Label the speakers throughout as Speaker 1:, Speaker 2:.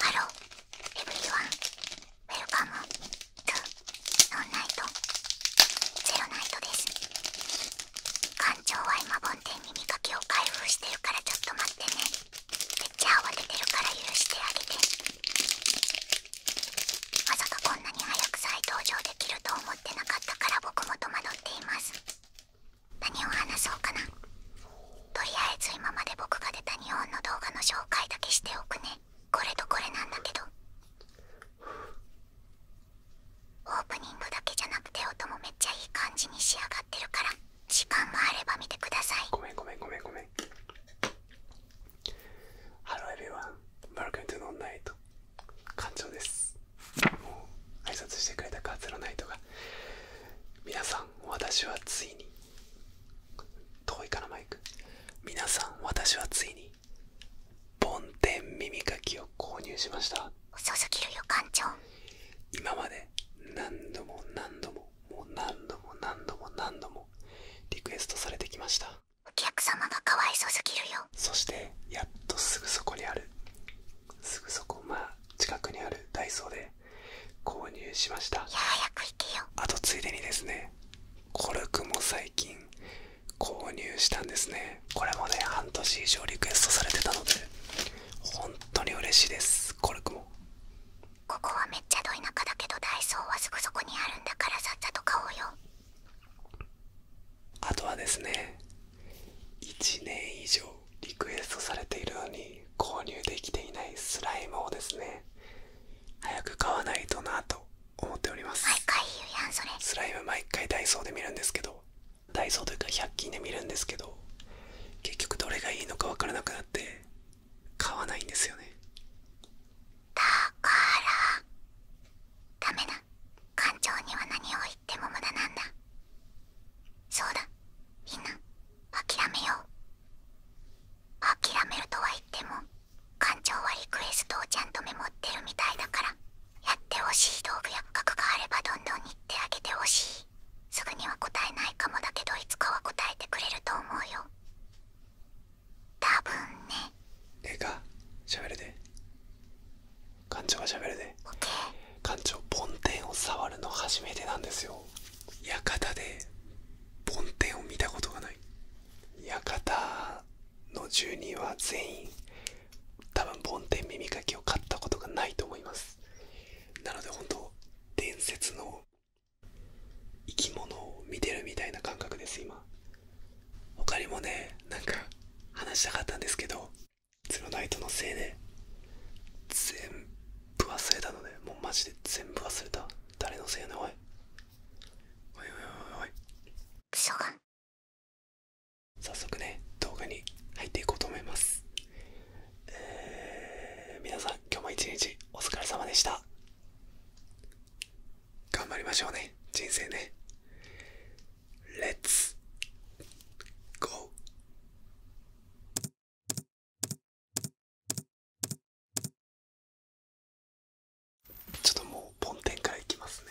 Speaker 1: ハローエブリワンウェルカムトゥノンナイトゼロナイトです館長は今梵天に見かけを開封してるからちょっと待ってねめっちゃ慌ててるから許してあげてまさかこんなに早く再登場できると思ってなかったから僕も戸惑っています何を話そうかなとりあえず今まで僕が出た日本の動画の紹介だけしておくねこれとこれなんだけどオープニングだけじゃなくて音もめっちゃいい感じに仕上がってるから時間があれば見てくださいごめんごめんごめんごめんハロ l l o は v ー r y o n e w e l c o m のナイト館
Speaker 2: 長です挨拶してくれたカーツロナイトが皆さん私はついに遠いかなマイク皆さん私はついに梵天耳かきを購入しました遅すぎるよ館長今まで何度も何度ももう何度も何度も何度もリクエストされてきましたお客様がかわいそすぎるよそしてやっとすぐそこにあるすぐそこまあ近くにあるダイソーで購入しましたや早く行けよあとついでにですねコルクも最近購入したんですねこれもね半年以上リクエストされてたので本当に嬉しいですコルクも
Speaker 1: ここはめっちゃど田舎だけどダイソーはすぐそこにあるんだからさっさと買おうよあとはですね1年以上リ
Speaker 2: クエストされているのに購入できていないスライムをですね早く買わないとなと思っております毎回言うやんそれスライム毎回ダイソーで見るんですけどダイソーというか100均で見るんですけど結局どれがいいのか分からなくなって買わないんですよね
Speaker 1: だからダメだ感情には何を言も無駄なんだそうだみんな諦めよう諦めるとは言っても館長はリクエストをちゃんとメモってるみたいだからやってほしい道具や画があればどんどん言ってあげてほしいすぐには答えないかもだけどいつかは答えてくれると思うよ多
Speaker 2: 分ねええかしゃべるで館長がしゃべるね館長梵天を触るの初めてなんですよ館で梵天を見たことがない館の住人は全員多分梵天耳かきを買ったことがないと思いますなので本当伝説の生き物を見てるみたいな感覚です今他にもねなんか話したかったんですけどゼロナイトのせいで全部忘れたのでもうマジで全部忘れた誰のせいやねおいおいおい
Speaker 1: おいおいおクソが早速ね動画に入っていこうと思いますえ皆さん今日も一日お疲れ様でした
Speaker 2: 頑張りましょうね人生ね
Speaker 1: Let's go!「ちょっともうポンテンからいきますね」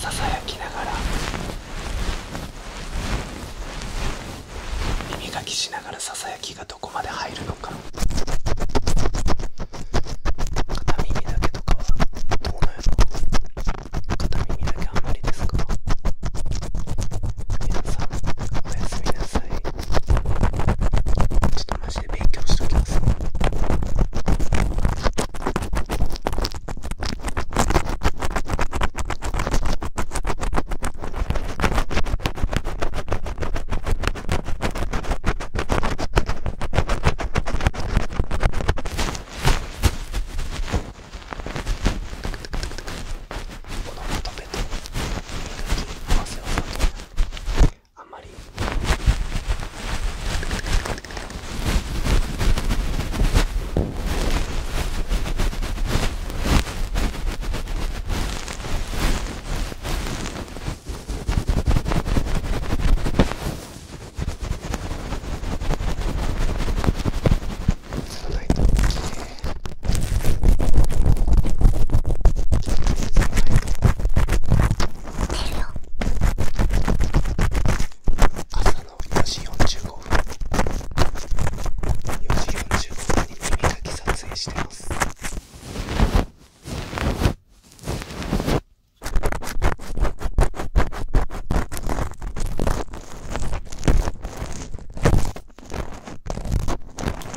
Speaker 2: ささやきながら耳かきしながらささやきがどこまで入るのか片耳
Speaker 1: だけとかはどうなの片耳だけあんまりですか皆さんおやすみなさいちょっとマジで勉強しときます。このまとめと磨き合わせをさとあんまり映らないとい朝の4時45分4時45分に耳かき撮影してます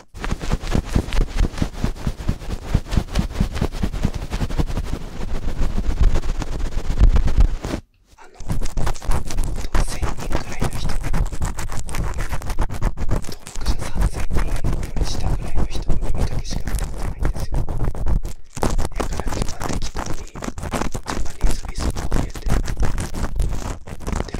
Speaker 1: あの1000人くらいの人登録者3000人より下ぐらいの人の耳かきしか歌ってないんですよだから今適当にジャパニーズリスプを入れてで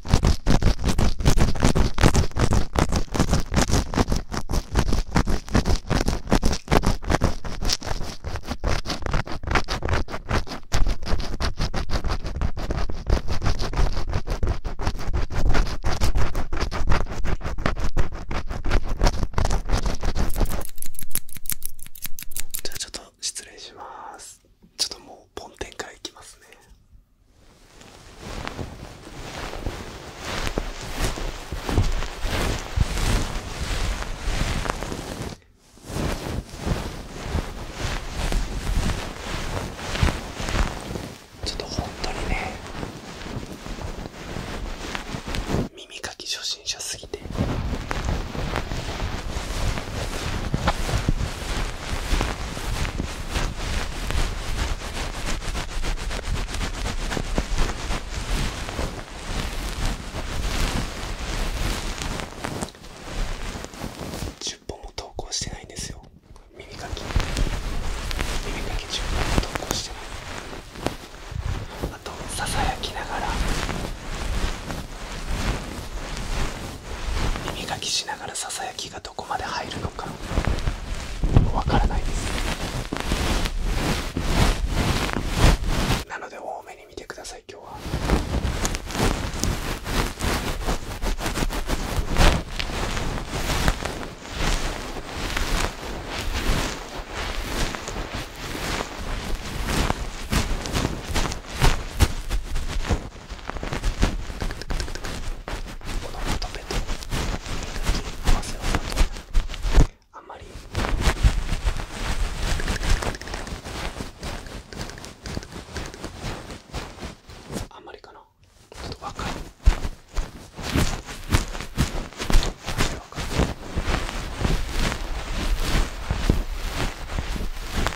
Speaker 1: じゃあちょっと失礼します。ちょっともうポンテンからいきますね
Speaker 2: ちょっと本当にね耳かき初心者すぎて10本も投稿してないんですよ耳か耳かきあとささやきながら耳かきしながらささやきがどこまで入るのかわからないですなので多めに見てください今日はこのまとめと磨き合わせをだとあんまりあんまりかなちょっと若い面白かった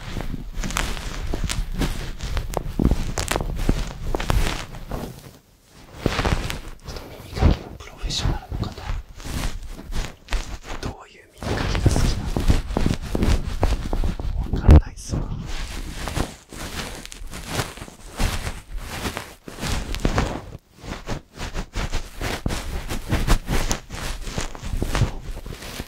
Speaker 2: 耳かきは
Speaker 1: プロフェッショナルの方どういう耳かきが好きなのわからないっすわ耳お疲れ様です。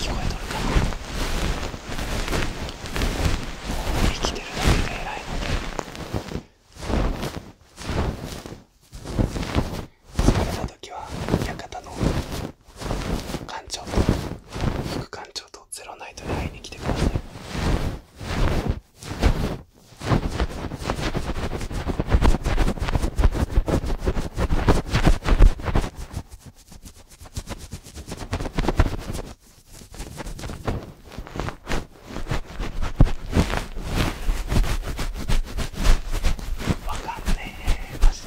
Speaker 2: 聞こえとるかな。生きてるだけで偉いので疲れた時は館の館長と副館長とゼロナイトで会いに来てくださいわかんねえマジ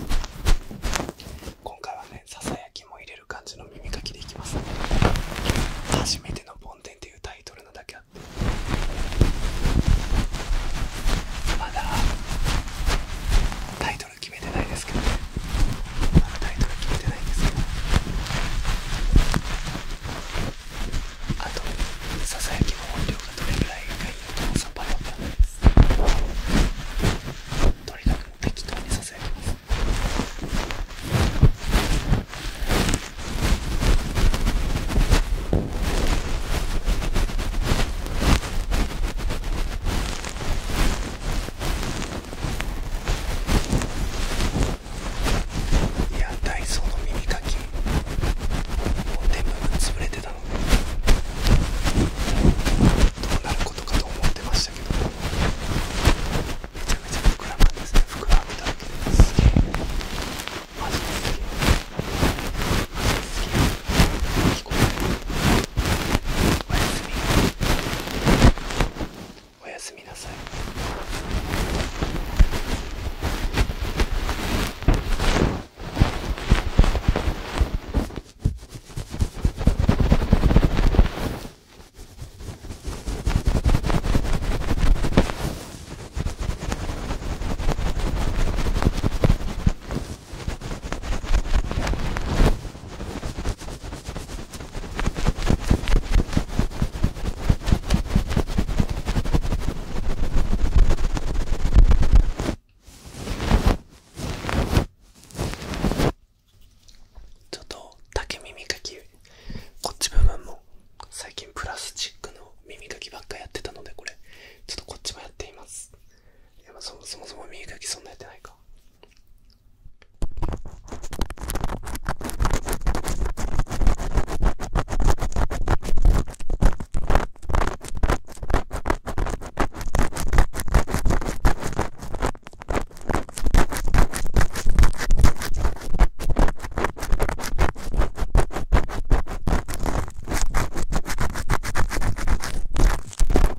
Speaker 1: 今回はねささやきも入れる感じの耳かきでいきます、ね、初めての「梵天」っていうタイトルなだけあってまだタイトトル決めてないですけどねまだタイトル決めてないんですけどあとささやきの音量がどれぐらいがいいのかもさっぱりわからなですとにかく適当にささやきますこいやダイソーの耳かきもう全部潰れてたので。どうなることかと思ってましたけどめちゃめちゃ膨らまんですね膨らんでただけですげえマジですげえマジですげえ聞こえなおやすみおやすみなさ
Speaker 2: いちょっと竹耳かきこっち部分も最近プラスチックの耳かきばっかやってたのでこれちょっとこっちもやっていますいやそもそもそも耳かきそんなやってないか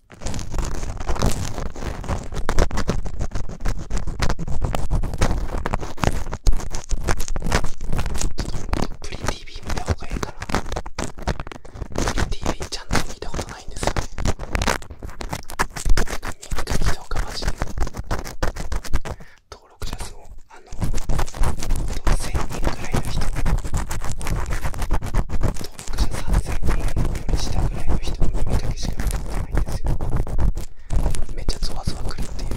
Speaker 2: プリティビー見た方がいいかなプリティビーちゃんと見たことないんですよね見た見た方がマジで登録者数もあの1000人ぐらいの人登僕じゃ撮影に寄りしたぐらいの人の耳かけしか見たことないんですよめっちゃゾワゾワくるっていうい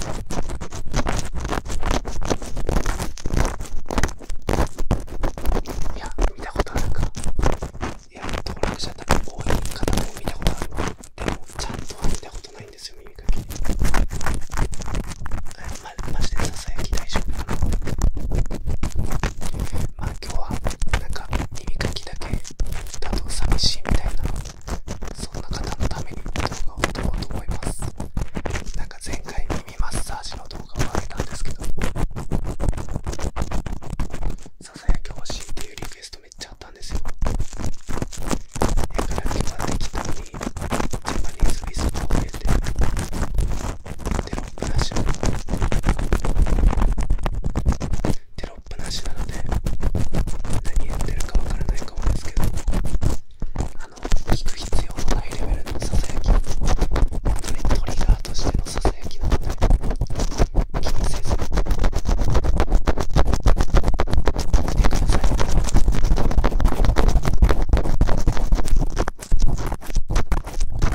Speaker 1: や見たことあるかいや登録者多分多い方も見たことあるわでもちゃんとは見たことないんですよ耳かきま、マジでささやき大丈夫かなま今日はなんか耳かきだけだと寂しいみたいなそんな方のために動画を撮ろうと思いますなんか前回耳マッサージの動画をあげたんですけどささやき欲しいっていうリクエストめっちゃあったんですよだから今日は適当にジャパニーズウィスパーを入れてテロップなしなのテロップなしなので何やってるかわからないかもですけどあの聞く必要のないレベルのささやき本当にトリガーとしてのささやきなので気にせず見てください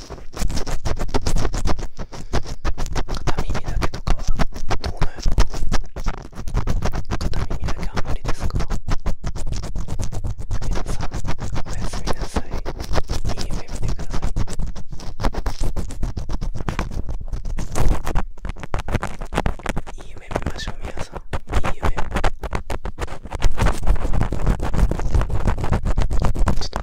Speaker 1: 片耳だけとかはどうなんやろ片耳だけあんまりですか皆さんおやすみなさいいい夢見てくださいいい夢見ましょうみなさんいい夢ちょっと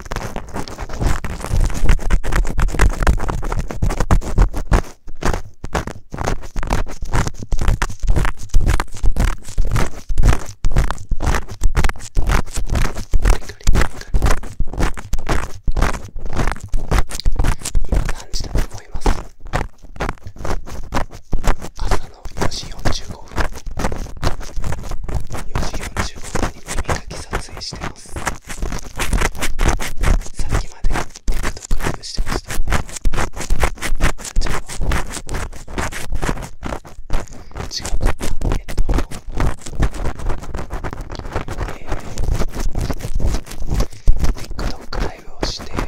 Speaker 1: 今何時だと思います朝の4時45分4時45分に耳かき撮影してますさっきまで TikTok ライブしてましたじゃあ違うかえっとえー TikTok ライブをしてネ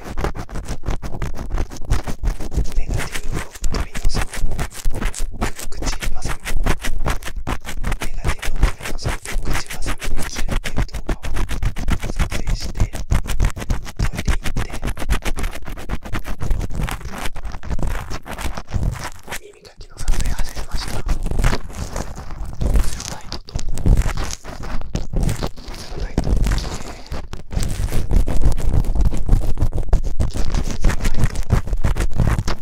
Speaker 1: ガティブを取り除く口ばさみネガティブを取り除く口ばさみにするっていう動画を撮影してトイレ行って耳かきの撮影始めましたセロライトとセロライトを着てセロライト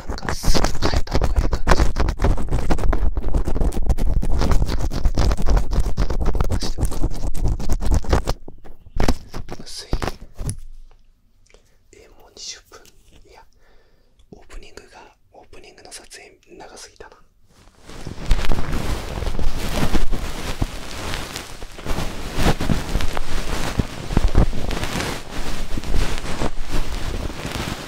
Speaker 1: なんかすぐ変えた方がいい感じ出しておく薄いえもう20分いやオープニングがオープニングの撮影長すぎたなえ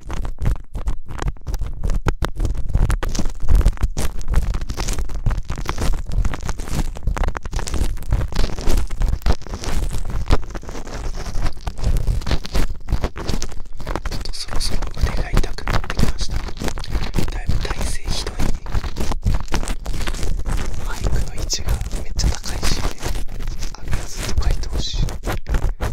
Speaker 1: ちょっとそろそろ腕が痛くなってきましただいぶ体勢ひどいマイクの位置がめっちゃ高いしあるやつと書いてほしい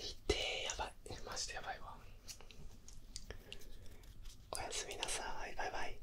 Speaker 2: いてやばいマジでやばいわおやすみなさいバイバイ